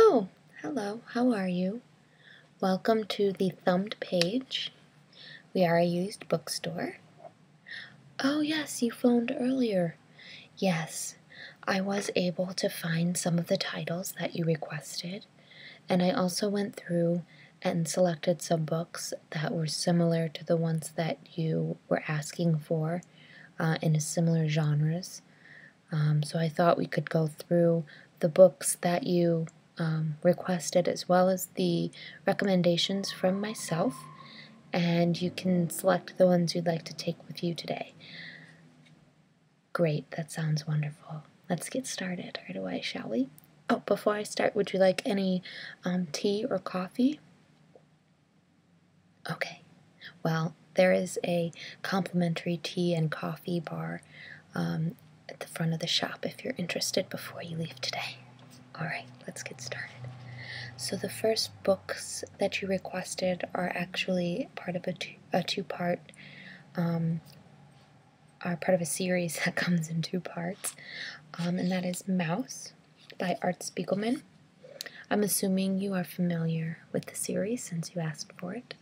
Oh, hello, how are you? Welcome to the thumbed page. We are a used bookstore. Oh, yes, you phoned earlier. Yes, I was able to find some of the titles that you requested, and I also went through and selected some books that were similar to the ones that you were asking for uh, in similar genres. Um, so I thought we could go through the books that you um, requested as well as the recommendations from myself and you can select the ones you'd like to take with you today. Great, that sounds wonderful. Let's get started right away, shall we? Oh, before I start, would you like any um, tea or coffee? Okay, well, there is a complimentary tea and coffee bar um, at the front of the shop if you're interested before you leave today. All right, let's get started. So the first books that you requested are actually part of a, two, a two-part um, are part of a series that comes in two parts, um, and that is Mouse by Art Spiegelman. I'm assuming you are familiar with the series since you asked for it.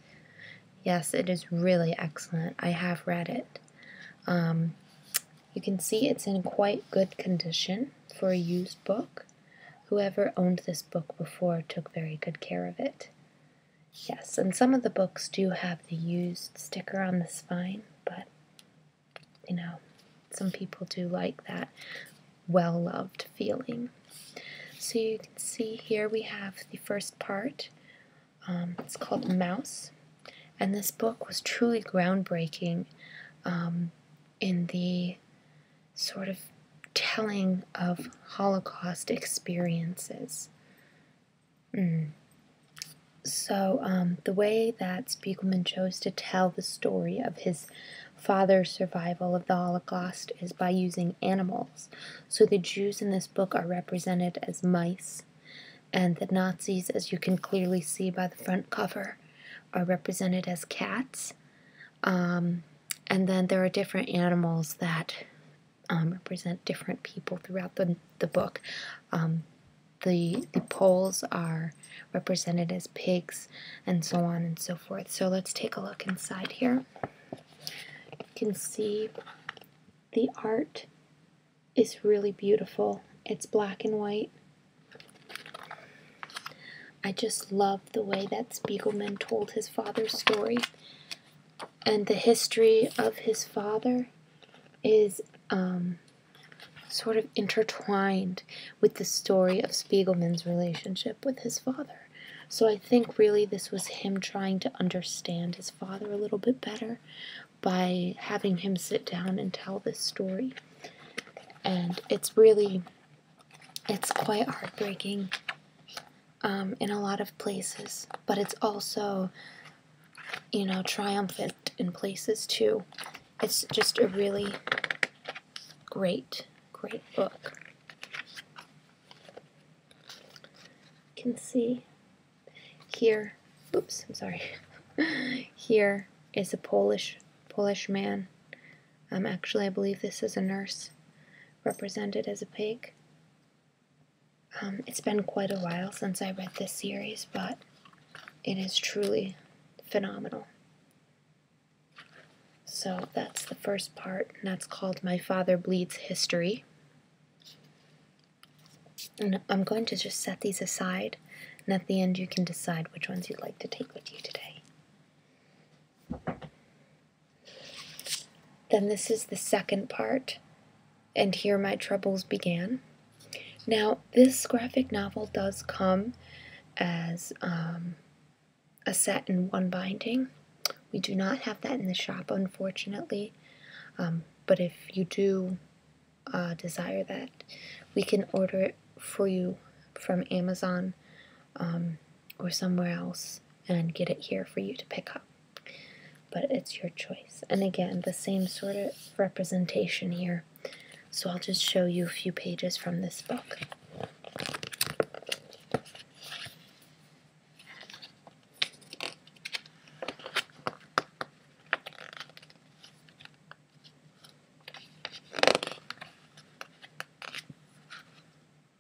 Yes, it is really excellent. I have read it. Um, you can see it's in quite good condition for a used book. Whoever owned this book before took very good care of it. Yes, and some of the books do have the used sticker on the spine, but you know, some people do like that well loved feeling. So you can see here we have the first part. Um, it's called Mouse, and this book was truly groundbreaking um, in the sort of telling of Holocaust experiences. Mm. So, um, the way that Spiegelman chose to tell the story of his father's survival of the Holocaust is by using animals. So, the Jews in this book are represented as mice, and the Nazis, as you can clearly see by the front cover, are represented as cats. Um, and then there are different animals that um, represent different people throughout the, the book. Um, the, the poles are represented as pigs and so on and so forth. So let's take a look inside here. You can see the art is really beautiful. It's black and white. I just love the way that Spiegelman told his father's story and the history of his father is um, sort of intertwined with the story of Spiegelman's relationship with his father. So I think really this was him trying to understand his father a little bit better by having him sit down and tell this story. And it's really, it's quite heartbreaking um, in a lot of places, but it's also, you know, triumphant in places too. It's just a really great, great book. You can see here, oops, I'm sorry. here is a Polish Polish man. Um, actually, I believe this is a nurse represented as a pig. Um, it's been quite a while since I read this series, but it is truly phenomenal. So that's the first part, and that's called My Father Bleeds History. And I'm going to just set these aside, and at the end you can decide which ones you'd like to take with you today. Then this is the second part, and here my troubles began. Now, this graphic novel does come as um, a set in one binding. We do not have that in the shop, unfortunately, um, but if you do uh, desire that, we can order it for you from Amazon um, or somewhere else and get it here for you to pick up but it's your choice. And again, the same sort of representation here. So I'll just show you a few pages from this book.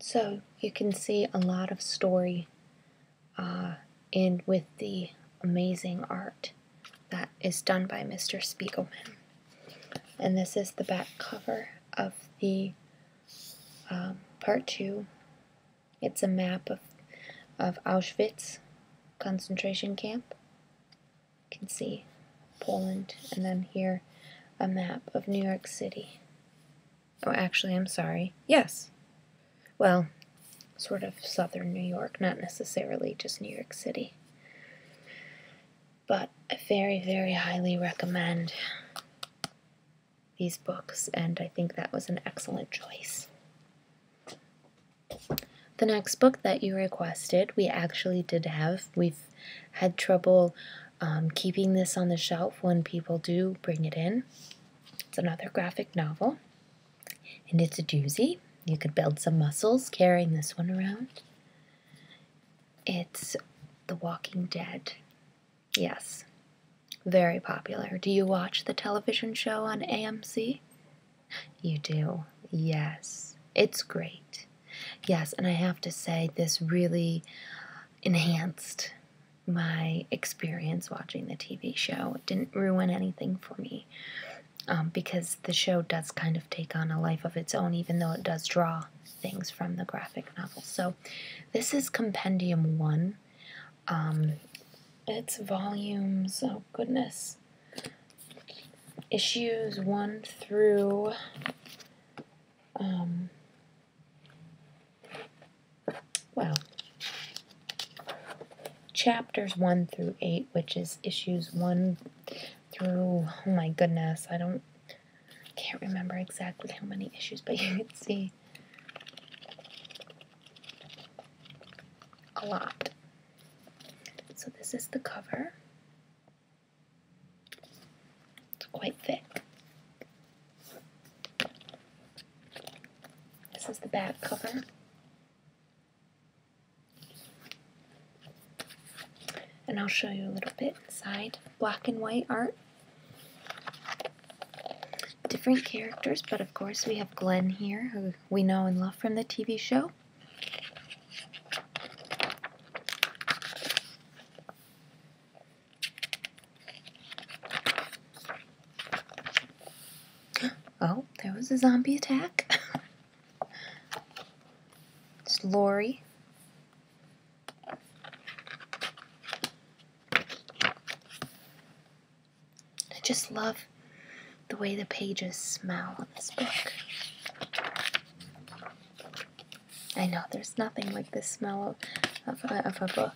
So you can see a lot of story uh, in with the amazing art that is done by Mr. Spiegelman. And this is the back cover of the um, part two. It's a map of, of Auschwitz concentration camp. You can see Poland, and then here a map of New York City. Oh, actually, I'm sorry. Yes. Well, sort of southern New York, not necessarily just New York City. But I very, very highly recommend these books, and I think that was an excellent choice. The next book that you requested, we actually did have. We've had trouble um, keeping this on the shelf when people do bring it in. It's another graphic novel, and it's a doozy. You could build some muscles carrying this one around. It's The Walking Dead. Yes, very popular. Do you watch the television show on AMC? You do, yes. It's great. Yes, and I have to say, this really enhanced my experience watching the TV show. It didn't ruin anything for me um, because the show does kind of take on a life of its own, even though it does draw things from the graphic novel. So, this is Compendium 1. Um, it's volumes, oh goodness, issues 1 through um, well, chapters 1 through 8, which is issues 1 through, oh my goodness, I don't, can't remember exactly how many issues, but you can see a lot. So this is the cover. It's quite thick. This is the back cover. And I'll show you a little bit inside. Black and white art. Different characters, but of course we have Glenn here, who we know and love from the TV show. Oh, there was a zombie attack. it's Lori. I just love the way the pages smell on this book. I know there's nothing like the smell of, of, a, book.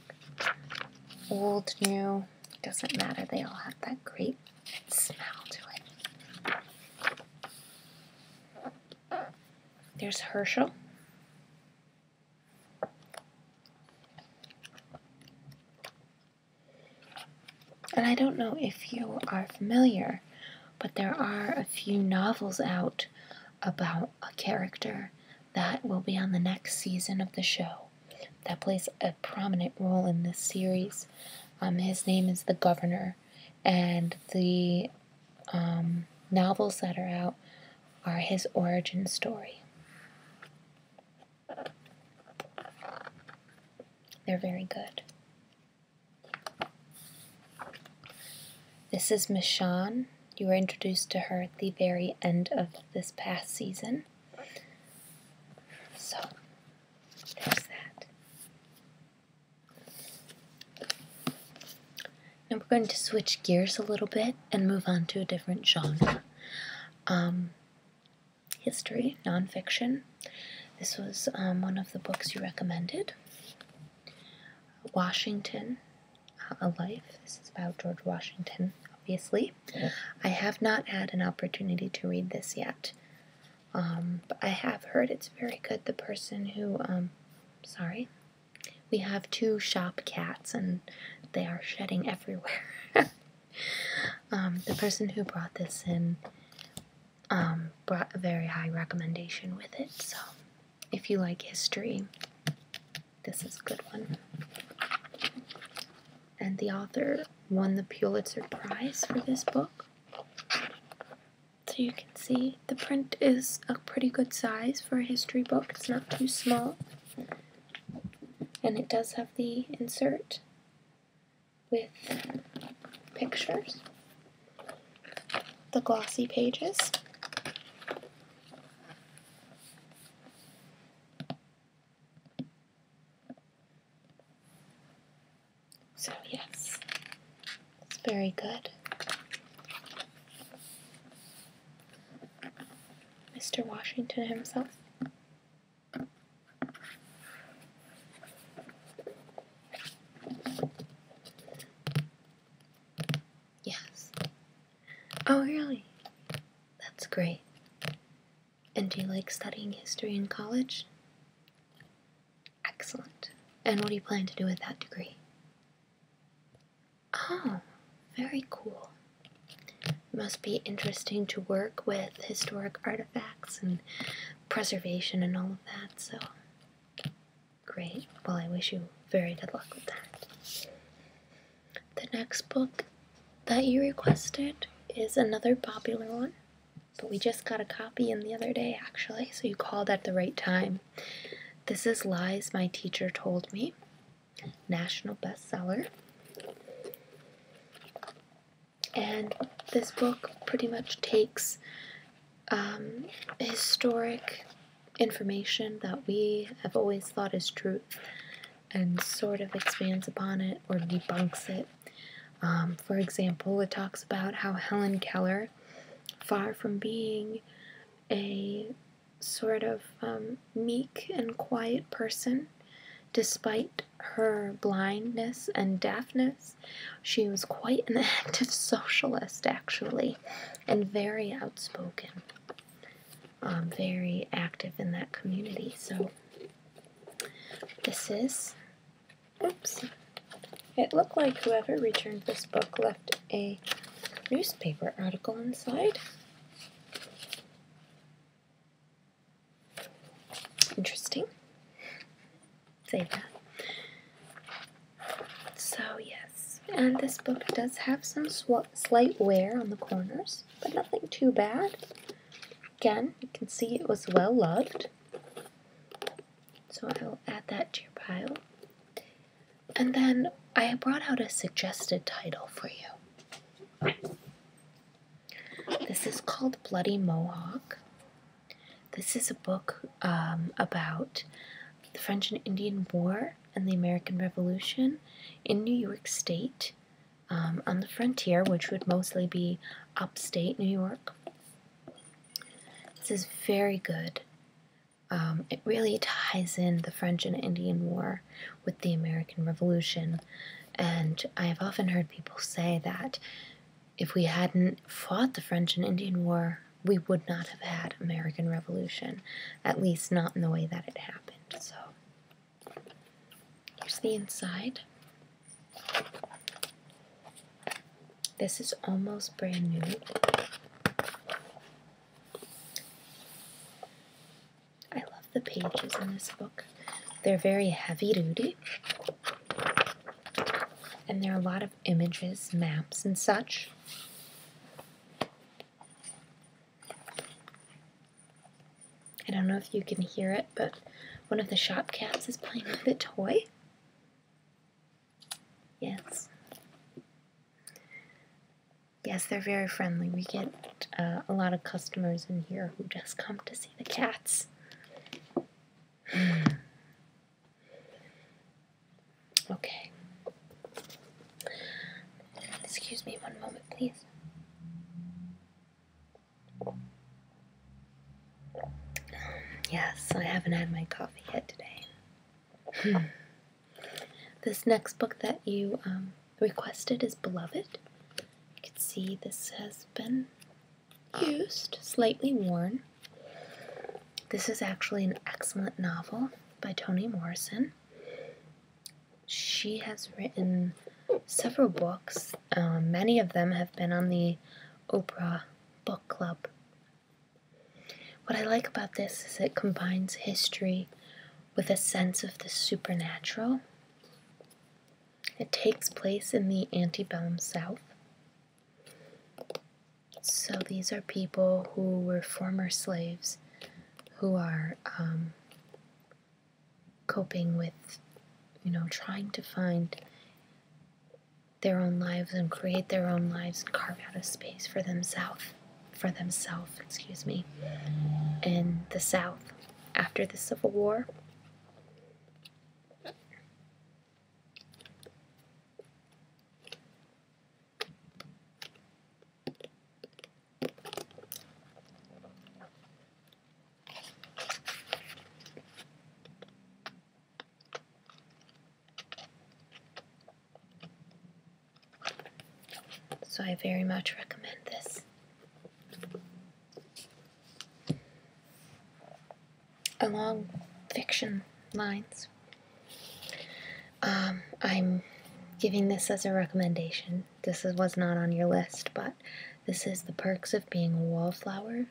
Old, new, doesn't matter. They all have that great smell to it. There's Herschel. And I don't know if you are familiar but there are a few novels out about a character that will be on the next season of the show that plays a prominent role in this series. Um, his name is The Governor, and the um, novels that are out are his origin story. They're very good. This is Miss Sean. You were introduced to her at the very end of this past season. So, there's that. Now we're going to switch gears a little bit and move on to a different genre. Um, history, nonfiction. This was um, one of the books you recommended. Washington, A Life. This is about George Washington, obviously. I have not had an opportunity to read this yet, um, but I have heard it's very good. The person who, um, sorry, we have two shop cats and they are shedding everywhere. the person who brought this in um, brought a very high recommendation with it. So, if you like history, this is a good one. And the author won the Pulitzer Prize for this book. So you can see the print is a pretty good size for a history book. It's not too small. And it does have the insert with pictures, the glossy pages, so yes, it's very good. Mr. Washington himself. Yes. Oh, really? That's great. And do you like studying history in college? Excellent. And what do you plan to do with that degree? Oh, very cool. must be interesting to work with historic artifacts and preservation and all of that. So great. Well, I wish you very good luck with that. The next book that you requested is another popular one, but we just got a copy in the other day actually, so you called at the right time. This is Lies My Teacher Told Me, national bestseller and this book pretty much takes um, historic information that we have always thought as truth and sort of expands upon it or debunks it. Um, for example, it talks about how Helen Keller, far from being a sort of um, meek and quiet person, despite her blindness and deafness, she was quite an active socialist, actually, and very outspoken, um, very active in that community. So, this is. Oops. It looked like whoever returned this book left a newspaper article inside. Interesting save that. So, yes, and this book does have some slight wear on the corners, but nothing too bad. Again, you can see it was well loved. So I will add that to your pile. And then I brought out a suggested title for you. This is called Bloody Mohawk. This is a book um, about the French and Indian War and the American Revolution in New York State um, on the frontier, which would mostly be upstate New York. This is very good. Um, it really ties in the French and Indian War with the American Revolution, and I have often heard people say that if we hadn't fought the French and Indian War, we would not have had American Revolution, at least not in the way that it happened. So here's the inside. This is almost brand new. I love the pages in this book. They're very heavy duty. And there are a lot of images, maps, and such. I don't know if you can hear it, but one of the shop cats is playing with a toy. Yes. Yes, they're very friendly. We get uh, a lot of customers in here who just come to see the cats. okay. Excuse me one moment, please. Yes, I haven't had my coffee yet today. Hmm. this next book that you um, requested is Beloved. You can see this has been used, slightly worn. This is actually an excellent novel by Toni Morrison. She has written several books. Uh, many of them have been on the Oprah Book Club. What I like about this is it combines history with a sense of the supernatural. It takes place in the antebellum South. So these are people who were former slaves who are um, coping with, you know, trying to find their own lives and create their own lives and carve out a space for themselves, for themselves, excuse me, in the South after the Civil War. So I very much recommend this along fiction lines. Um, I'm giving this as a recommendation. This was not on your list, but this is The Perks of Being a Wallflower.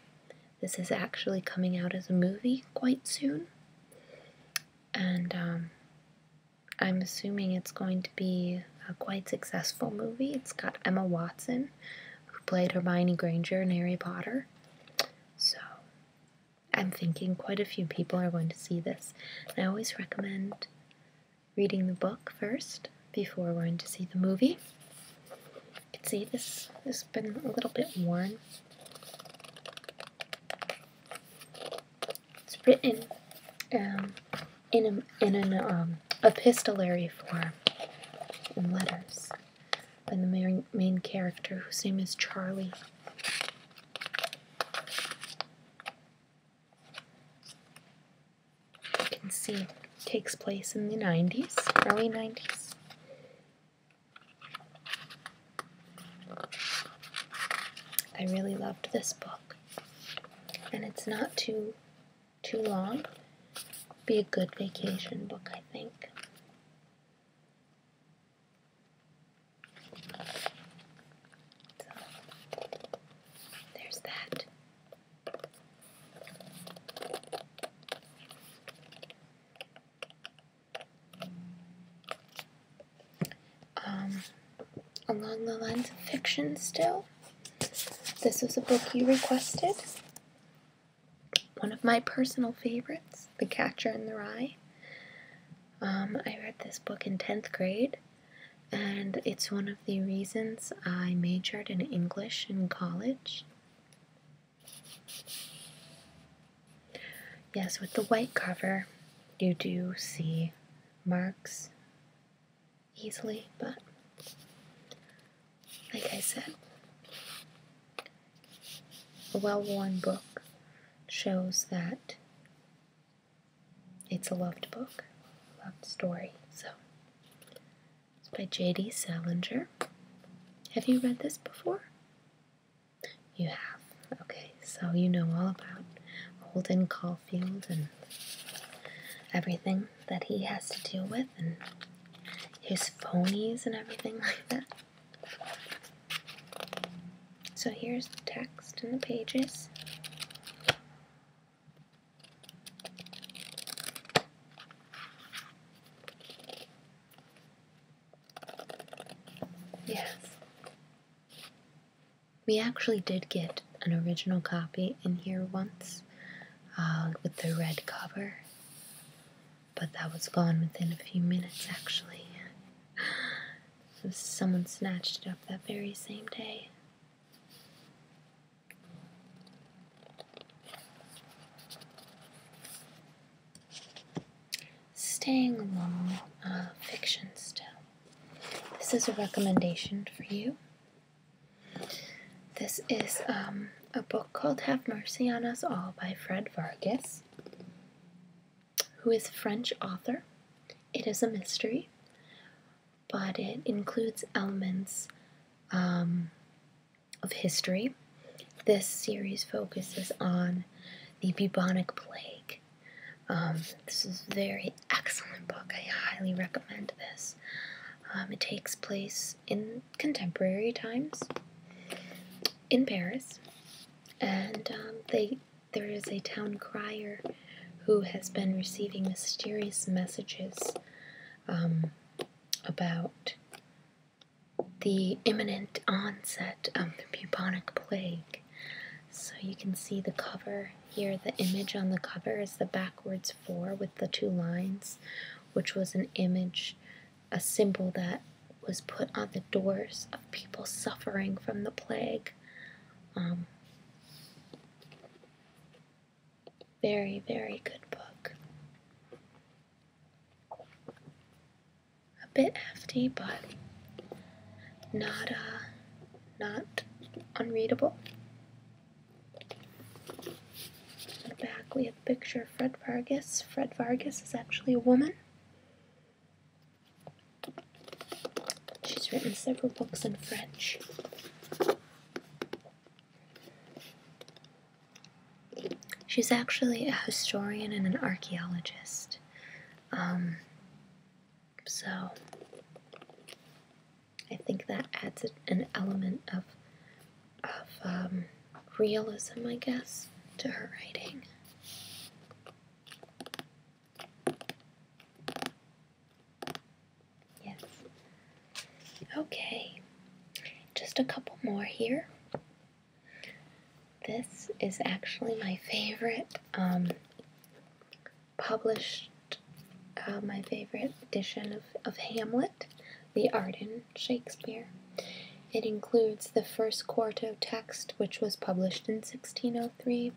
This is actually coming out as a movie quite soon. And um, I'm assuming it's going to be a quite successful movie. It's got Emma Watson, who played Hermione Granger in Harry Potter. So I'm thinking quite a few people are going to see this. I always recommend reading the book first before going to see the movie. You can see this has been a little bit worn. It's written um, in in an um, epistolary form letters by the main, main character, whose name is Charlie. You can see takes place in the 90s, early 90s. I really loved this book, and it's not too too long. Be a good vacation book, I think. there's that. Um, along the lines of fiction, still, this was a book you requested one of my personal favorites, The Catcher in the Rye. Um, I read this book in 10th grade, and it's one of the reasons I majored in English in college. Yes, with the white cover, you do see marks easily, but like I said, a well-worn book shows that it's a loved book, loved story. So it's by J.D. Salinger. Have you read this before? You have. Okay, so you know all about Holden Caulfield and everything that he has to deal with and his phonies and everything like that. So here's the text and the pages. Yes. We actually did get an original copy in here once uh, with the red cover, but that was gone within a few minutes actually. someone snatched it up that very same day. Staying along uh, fiction still. This is a recommendation for you. This is um, a book called Have Mercy on Us All by Fred Vargas, who is French author. It is a mystery, but it includes elements um, of history. This series focuses on the bubonic plague. Um, this is a very excellent book. I highly recommend this. Um, it takes place in contemporary times in Paris, and um, they there is a town crier who has been receiving mysterious messages um, about the imminent onset of the bubonic plague. So you can see the cover here. The image on the cover is the backwards four the two lines, which was an image, a symbol that was put on the doors of people suffering from the plague. Um, very, very good book. A bit hefty, but not uh, not unreadable. In the back, we have a picture of Fred Vargas. Fred Vargas is actually a woman. She's written several books in French. She's actually a historian and an archaeologist. Um, so, I think that adds an element of of um, realism, I guess, to her writing. Yes. Okay, just a couple more here. This is actually my favorite um, published uh, my favorite edition of, of Hamlet, the Arden Shakespeare. It includes the first quarto text, which was published in 1603,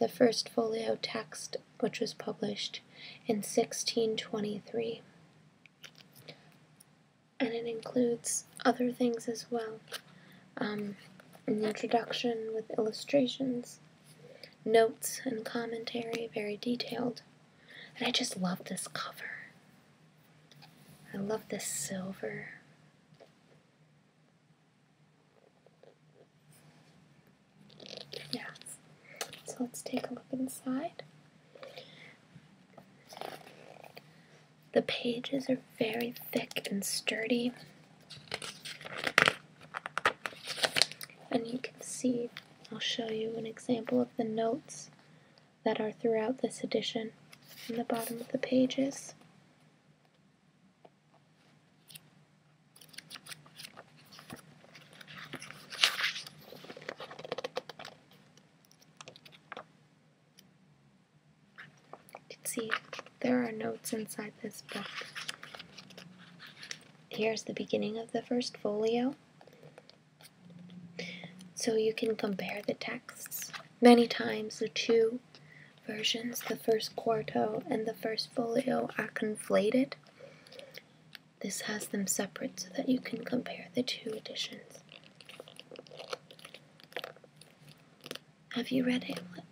the first folio text, which was published in 1623. And it includes other things as well um, an introduction with illustrations, notes and commentary, very detailed. And I just love this cover. I love this silver. Yes. So let's take a look inside. The pages are very thick and sturdy. And you can see I'll show you an example of the notes that are throughout this edition in the bottom of the pages. You can see there are notes inside this book here's the beginning of the first folio. So you can compare the texts. Many times the two versions, the first quarto and the first folio, are conflated. This has them separate so that you can compare the two editions. Have you read Hamlet?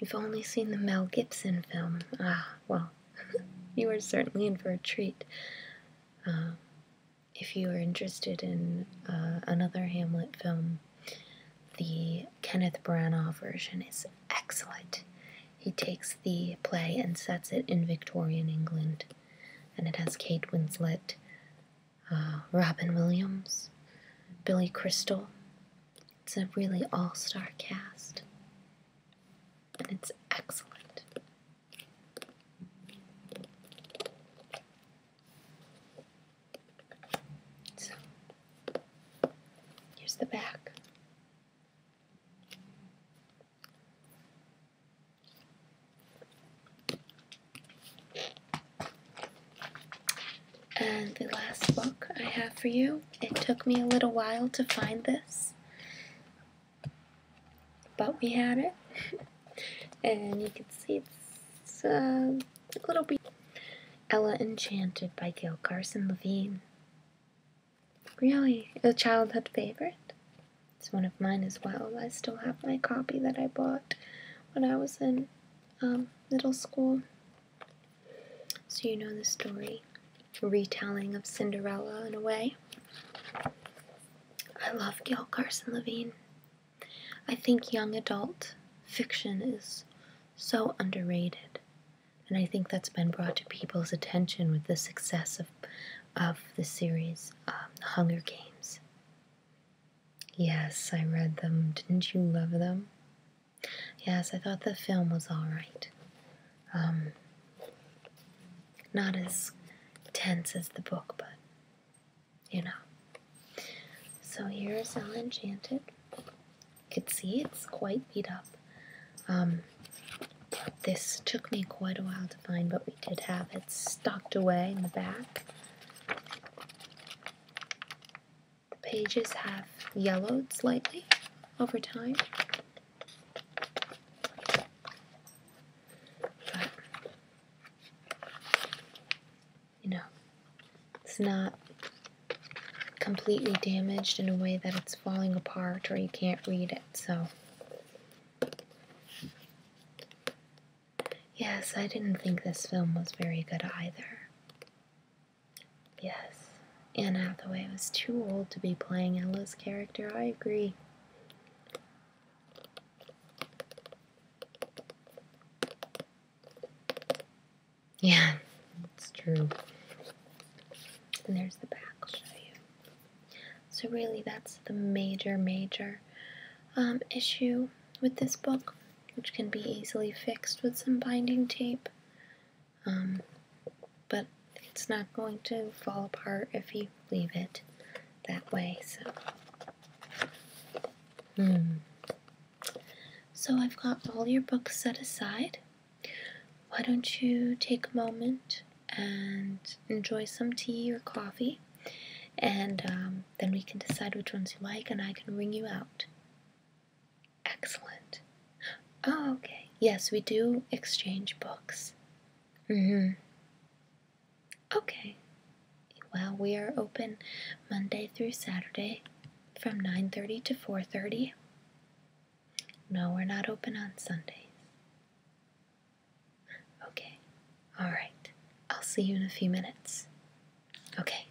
You've only seen the Mel Gibson film. Ah, well, you are certainly in for a treat. Um, if you are interested in uh, another Hamlet film, the Kenneth Branagh version is excellent. He takes the play and sets it in Victorian England, and it has Kate Winslet, uh, Robin Williams, Billy Crystal, it's a really all star cast, and it's excellent. So, here's the back. And the last book I have for you, it took me a little while to find this, but we had it. and you can see it's uh, a little bit. Ella Enchanted by Gail Carson Levine. Really, a childhood favorite. It's one of mine as well. I still have my copy that I bought when I was in um, middle school. So you know the story, retelling of Cinderella in a way. I love Gil Carson Levine. I think young adult fiction is so underrated, and I think that's been brought to people's attention with the success of of the series, um, The Hunger Games. Yes, I read them. Didn't you love them? Yes, I thought the film was alright. Um, not as tense as the book, but you know. So here's El Enchanted. You can see it's quite beat up. Um, this took me quite a while to find, but we did have it stocked away in the back. The pages have yellowed slightly over time. But, you know, it's not completely damaged in a way that it's falling apart or you can't read it, so. Yes, I didn't think this film was very good either. Yes, Anne Hathaway was too old to be playing Ella's character, I agree. Yeah, that's true. And there's the back, So really that's the major, major um, issue with this book, which can be easily fixed with some binding tape. Um, but it's not going to fall apart if you leave it that way, so. Hmm. So I've got all your books set aside. Why don't you take a moment and enjoy some tea or coffee, and um, then we can decide which ones you like, and I can ring you out. Excellent. Oh, okay. Yes, we do exchange books. Mm hmm. Okay. Well, we are open Monday through Saturday from 9.30 to 4.30. No, we're not open on Sundays. Okay. All right. I'll see you in a few minutes. Okay.